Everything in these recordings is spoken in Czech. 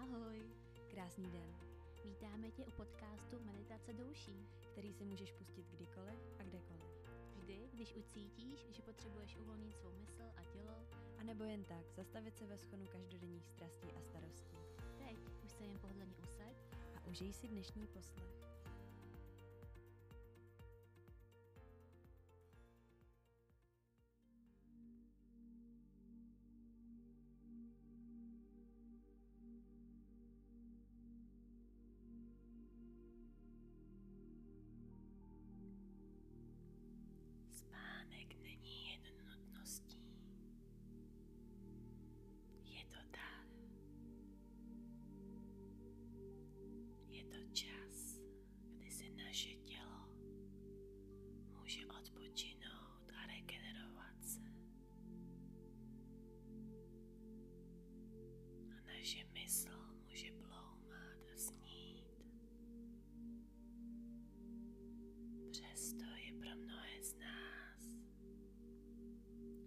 Ahoj, krásný den. Vítáme tě u podcastu Meditace douší, který si můžeš pustit kdykoliv a kdekoliv. Vždy, když ucítíš, že potřebuješ uvolnit svou mysl a tělo, a nebo jen tak zastavit se ve schonu každodenních strastí a starostí. Teď už se jen pohodlně usaď a užij si dnešní poslech. Spánek není jen nutností. Je to dar. Je to čas kdy si naše tělo může odpočinout a regenerovat naše mysl může bloumat a snít. Přesto je pro mnohé z nás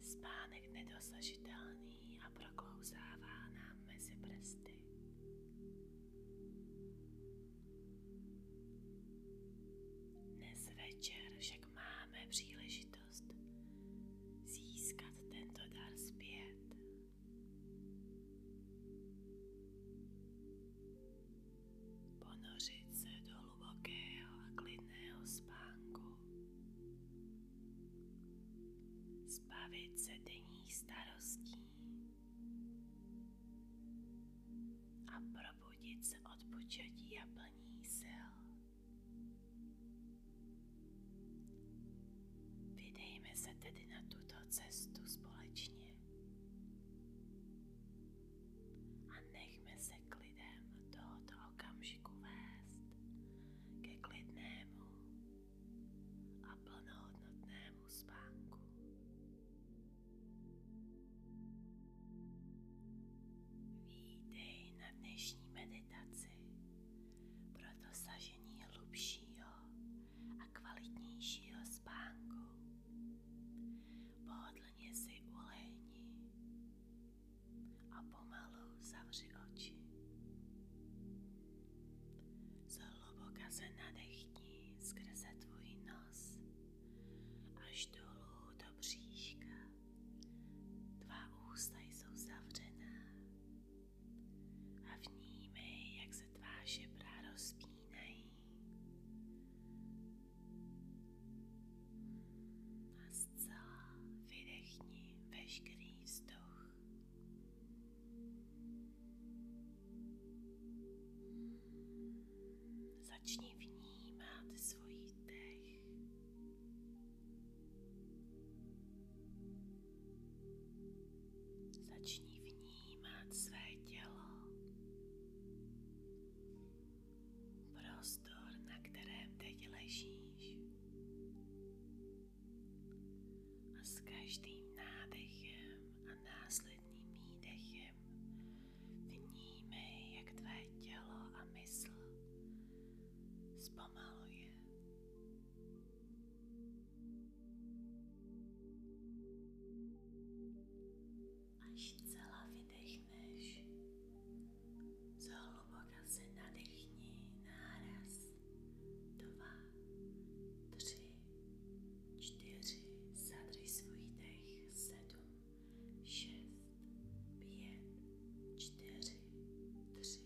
spánek nedosažitelný dlaní a proklouzává nám mezi prsty. Dnes večer však máme příležitost získat tento dar zpět. Ponořit se do hlubokého a klidného spánku. Zbavit se denních starostí a probudit se od početí a plní sil. Vydejme se tedy na tuto cestu společně a nechme se k lidem tohoto okamžiku vést ke klidnému a plnohodnotnému spánku. Vítej na dnešní meditaci pro dosažení hlubšího a kvalitnějšího spánku. Pohodlně si ulehni a pomalu zavři oči. Zhluboka se nadechni skrze tvůj nos až dolů do bříška. Tvá ústa jsou zavřená a vnímej, jak se tvá žebra rozpínají. A zcela vydechni veškerý vzduch. Začni vnímat svůj dech. Začni vnímat své tělo. Prostor, na kterém teď ležíš. A s každým nádechem a následným výdechem vnímej, jak tvé tělo a mysl zpomaluje. Až celá vydechneš, zhluboka se nadechni náraz. Dva, tři, čtyři, zadrž svůj dech. Sedm, šest, pět, čtyři, tři,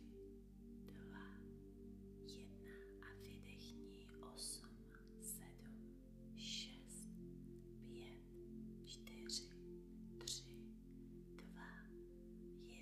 dva, jedna a vydechni. Osm, sedm, šest, pět, čtyři, tři, dva, jedna.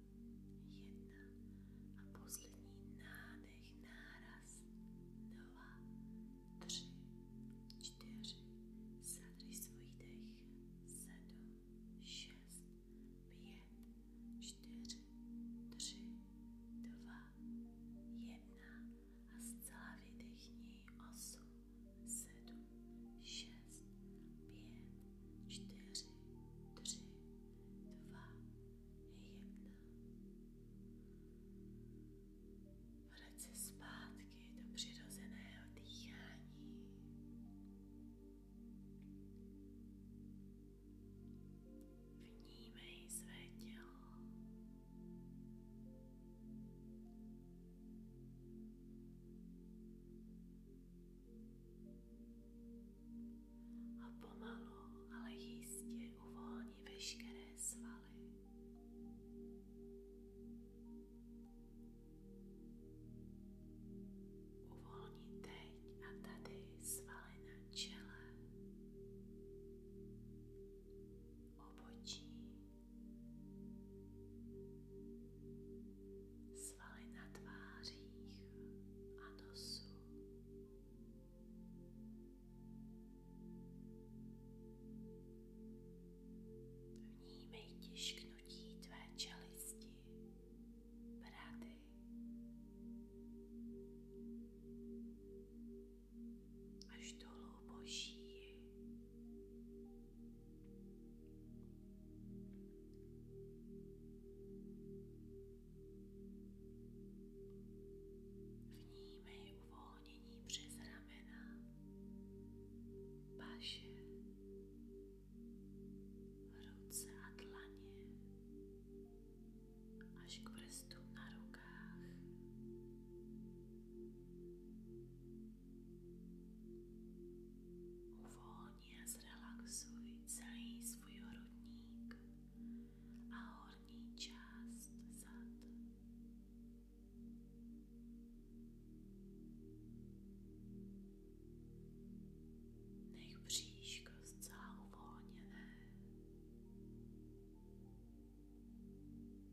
jedna a poslední nádech, náraz, dva, tři, čtyři, zadrž svůj dech, sedm, šest, pět, čtyři, tři, dva, jedna a zcela vydechni osm, sedm, šest, pět, čtyři, tři, dva, jedna. Vrať se zpátky do přirozeného dýchání. Vnímej své tělo. A pomalu, ale jistě uvolní veškeré svaly. Uvolní teď a tady svaly na čele, obočí, Svaly na tvářích a nosu. Vnímej tišknutí tvé čelisti, brady. Až dolů po šíji. Wnijmy uwolnieni przez ramena, pasie, ruce a dlanie, aś krestu na rogach. Uvolni a zrelaxuj celý svůj hrudník a horní část zad. Nech bříško zcela uvolněné.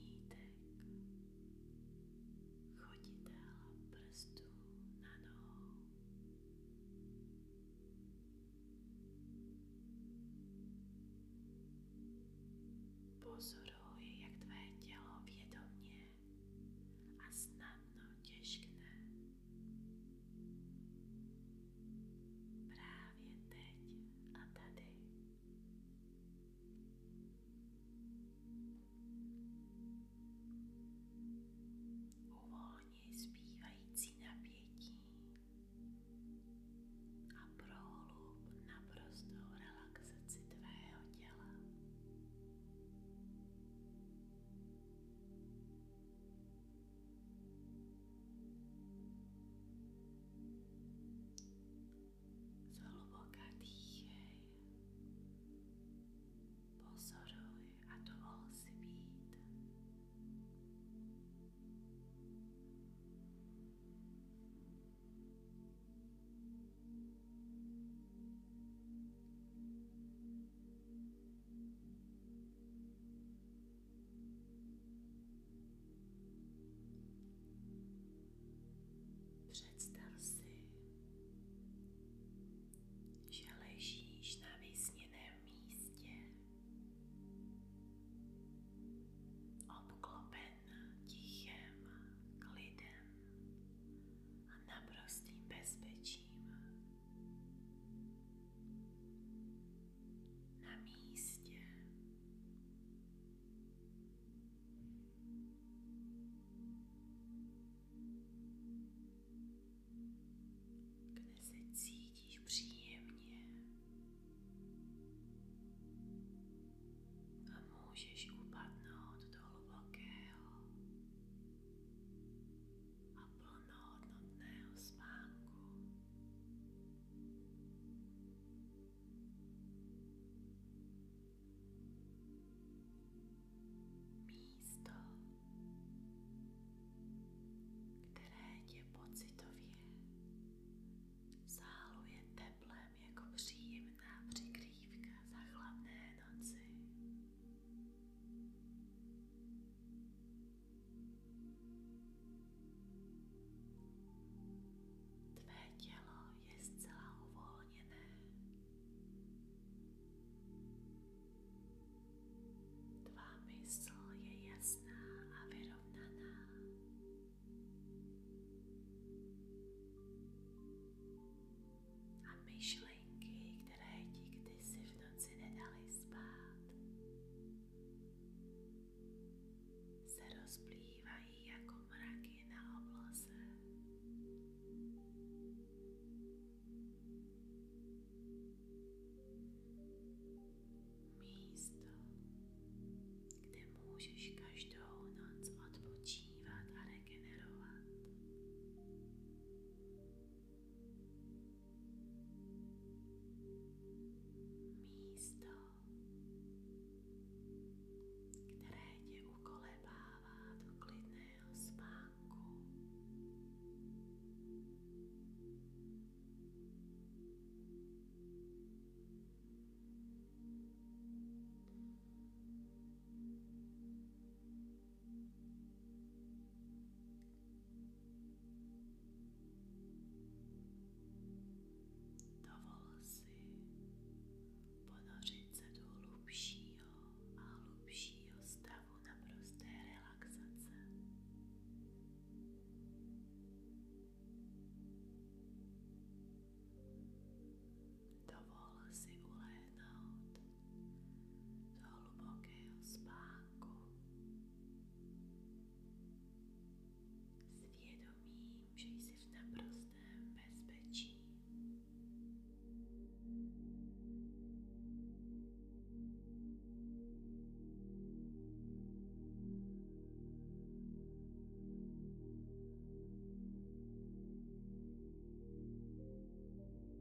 lítek, choditel prstů na nohou. Pozoruj, jak tvé tělo vědomě a snadno těžkne. Právě teď a tady. Uvolni zbývající napětí a prohlub naprostou relaxaci tvého těla. Zhluboka dýchej. Pozoruj a dovol si být. Představ si, že ležíš na vysněném místě, obklopen tichem, klidem a naprostým bezpečím na místě. Kde se cítíš příjemně a můžeš upadnout do hlubokého a plnohodnotného spánku. Místo, které tě pocitově záluje teplem jako příjemná přikrývka za chladné noci. Tvé tělo je zcela uvolněné. Tvá mysl je jasná a vyrovnaná. A myšlenky, které ti kdysi v noci nedali spát, se rozplývají jako mraky na obloze. Místo, kde můžeš každou noc odpočívat a regenerovat místo, které tě ukolebává do klidného spánku. Dovol si ponořit se do hlubšího a hlubšího stavu naprosté relaxace. Dovol si ulehnout do hlubokého spánku svědomím, že jsi v naprostém bezpečí.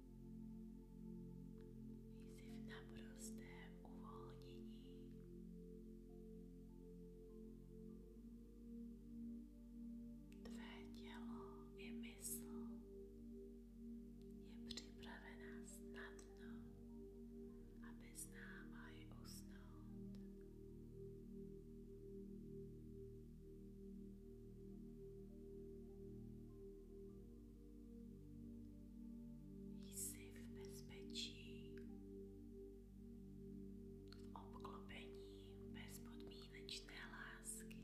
Jsi v naprostém uvolnění. Tvé tělo i mysl je připravená snadno, aby s námi usnout. Jsi v bezpečí, v obklopení bezpodmínečné lásky.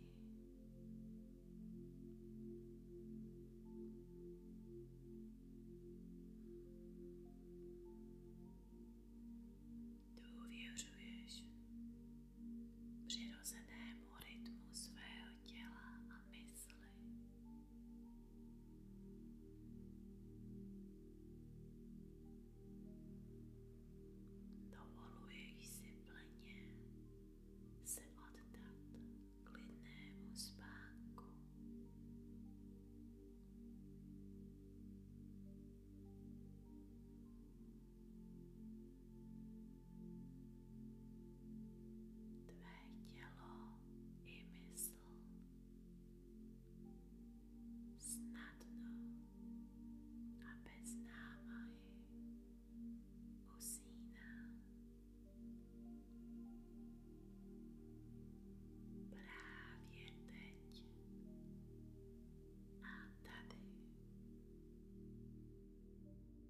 Důvěřuješ přirozenému rytmu svého těla a mysli mysli. Dovoluji si plně se oddat klidnému spánku tvé tělo i mysl snadno a bez námahy usíná. Právě teď a tady.